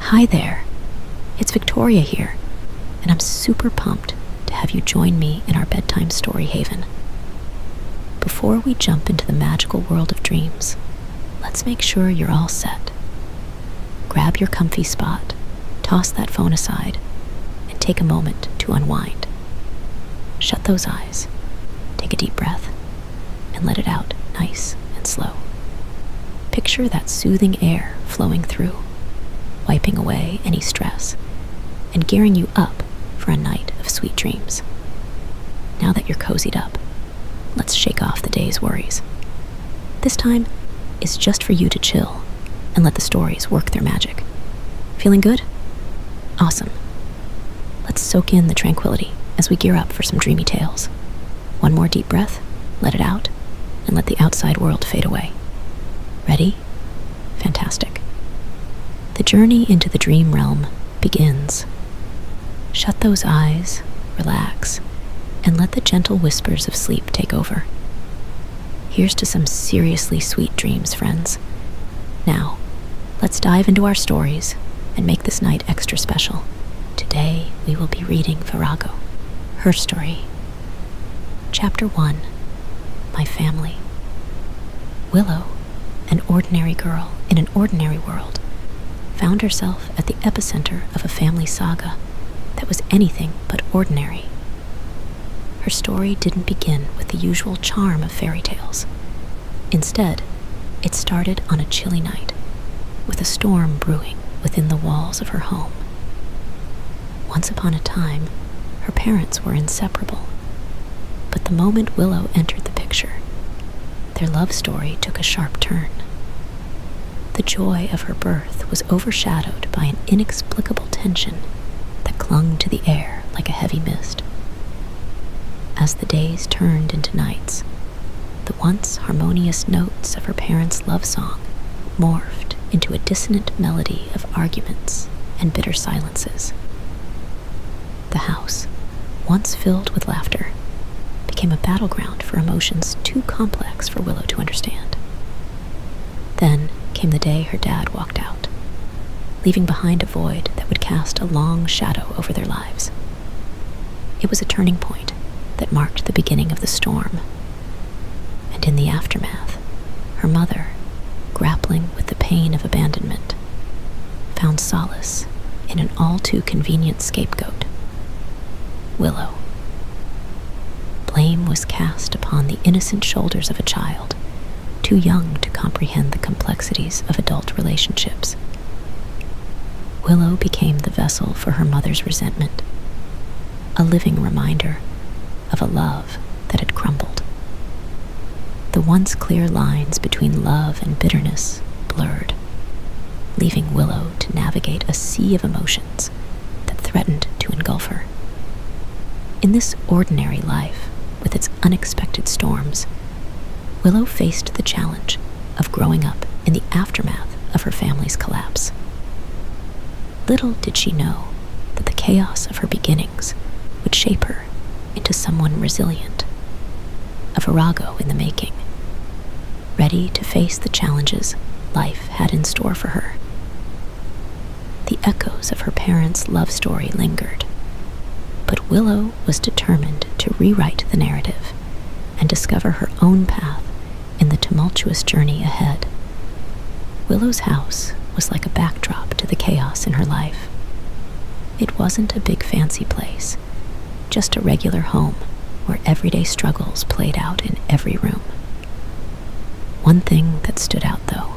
Hi there, it's Victoria here, and I'm super pumped to have you join me in our bedtime story haven. Before we jump into the magical world of dreams, let's make sure you're all set. Grab your comfy spot, toss that phone aside, and take a moment to unwind. Shut those eyes, take a deep breath, and let it out nice and slow. Picture that soothing air flowing through, wiping away any stress, and gearing you up for a night of sweet dreams. Now that you're cozied up, let's shake off the day's worries. This time is just for you to chill and let the stories work their magic. Feeling good? Awesome. Let's soak in the tranquility as we gear up for some dreamy tales. One more deep breath, let it out, and let the outside world fade away. Ready? Fantastic. The journey into the dream realm begins. Shut those eyes, relax, and let the gentle whispers of sleep take over. Here's to some seriously sweet dreams, friends. Now, let's dive into our stories and make this night. Extra Special. Today we will be reading Virago, her story. Chapter 1 My Family. Willow, an ordinary girl in an ordinary world, found herself at the epicenter of a family saga that was anything but ordinary. Her story didn't begin with the usual charm of fairy tales. Instead, it started on a chilly night with a storm brewing within the walls of her home. Once upon a time, her parents were inseparable. But the moment Willow entered the picture, their love story took a sharp turn. The joy of her birth was overshadowed by an inexplicable tension that clung to the air like a heavy mist. As the days turned into nights, the once harmonious notes of her parents' love song morphed into a dissonant melody of arguments and bitter silences. The house, once filled with laughter, became a battleground for emotions too complex for Willow to understand. Then came the day her dad walked out, leaving behind a void that would cast a long shadow over their lives. It was a turning point that marked the beginning of the storm. And in the aftermath, her mother, grappling with the pain of abandonment, found solace in an all too convenient scapegoat Willow. Blame was cast upon the innocent shoulders of a child too young to comprehend the complexities of adult relationships. Willow became the vessel for her mother's resentment, a living reminder of a love that had crumbled. The once clear lines between love and bitterness blurred, leaving Willow to navigate a sea of emotions that threatened to engulf her. In this ordinary life, with its unexpected storms, Willow faced the challenge of growing up in the aftermath of her family's collapse. Little did she know that the chaos of her beginnings would shape her into someone resilient, a virago in the making, ready to face the challenges life had in store for her. The echoes of her parents' love story lingered, but Willow was determined to rewrite the narrative and discover her own path in the tumultuous journey ahead. Willow's house was like a backdrop to the chaos in her life. It wasn't a big fancy place, just a regular home where everyday struggles played out in every room. One thing that stood out, though,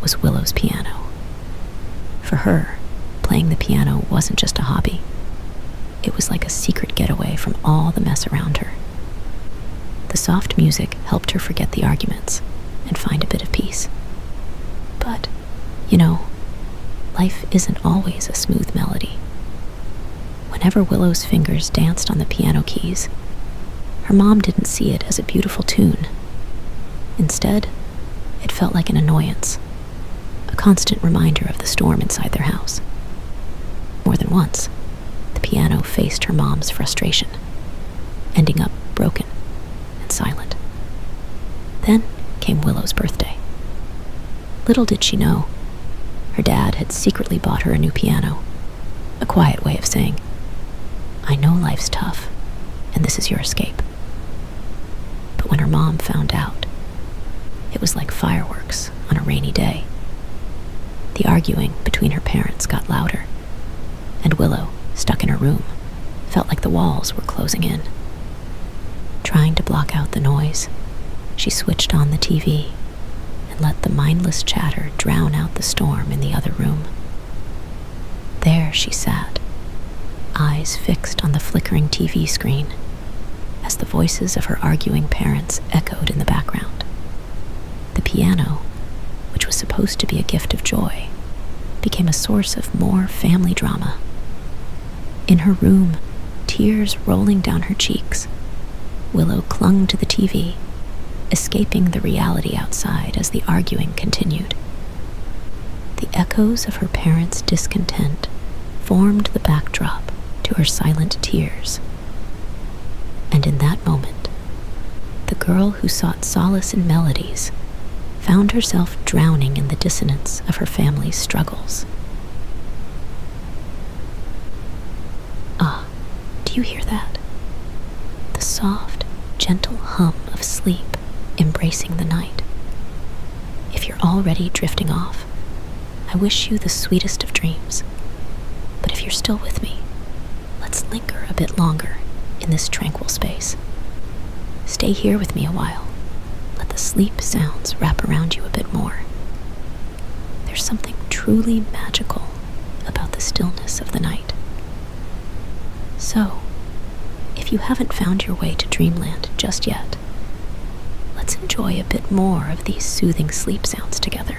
was Willow's piano. For her, playing the piano wasn't just a hobby, it was like a secret getaway from all the mess around her. The soft music helped her forget the arguments and find a bit of peace. But, you know, life isn't always a smooth melody. Whenever Willow's fingers danced on the piano keys, her mom didn't see it as a beautiful tune. Instead, it felt like an annoyance, a constant reminder of the storm inside their house more than once, the piano faced her mom's frustration, ending up broken and silent. Then came Willow's birthday. Little did she know, her dad had secretly bought her a new piano, a quiet way of saying, I know life's tough, and this is your escape. But when her mom found out, it was like fireworks on a rainy day. The arguing between her parents got louder, and Willow, stuck in her room, felt like the walls were closing in. Trying to block out the noise, she switched on the TV and let the mindless chatter drown out the storm in the other room. There she sat, eyes fixed on the flickering TV screen, as the voices of her arguing parents echoed in the background. The piano, which was supposed to be a gift of joy, became a source of more family drama. In her room, tears rolling down her cheeks, Willow clung to the TV, escaping the reality outside as the arguing continued. The echoes of her parents' discontent formed the backdrop to her silent tears and in that moment, the girl who sought solace in melodies found herself drowning in the dissonance of her family's struggles. Ah, do you hear that? The soft, gentle hum of sleep embracing the night. If you're already drifting off, I wish you the sweetest of dreams. But if you're still with me, let's linger a bit longer in this tranquil space. Stay here with me a while. Let the sleep sounds wrap around you a bit more. There's something truly magical about the stillness of the night. So, if you haven't found your way to dreamland just yet, Let's enjoy a bit more of these soothing sleep sounds together.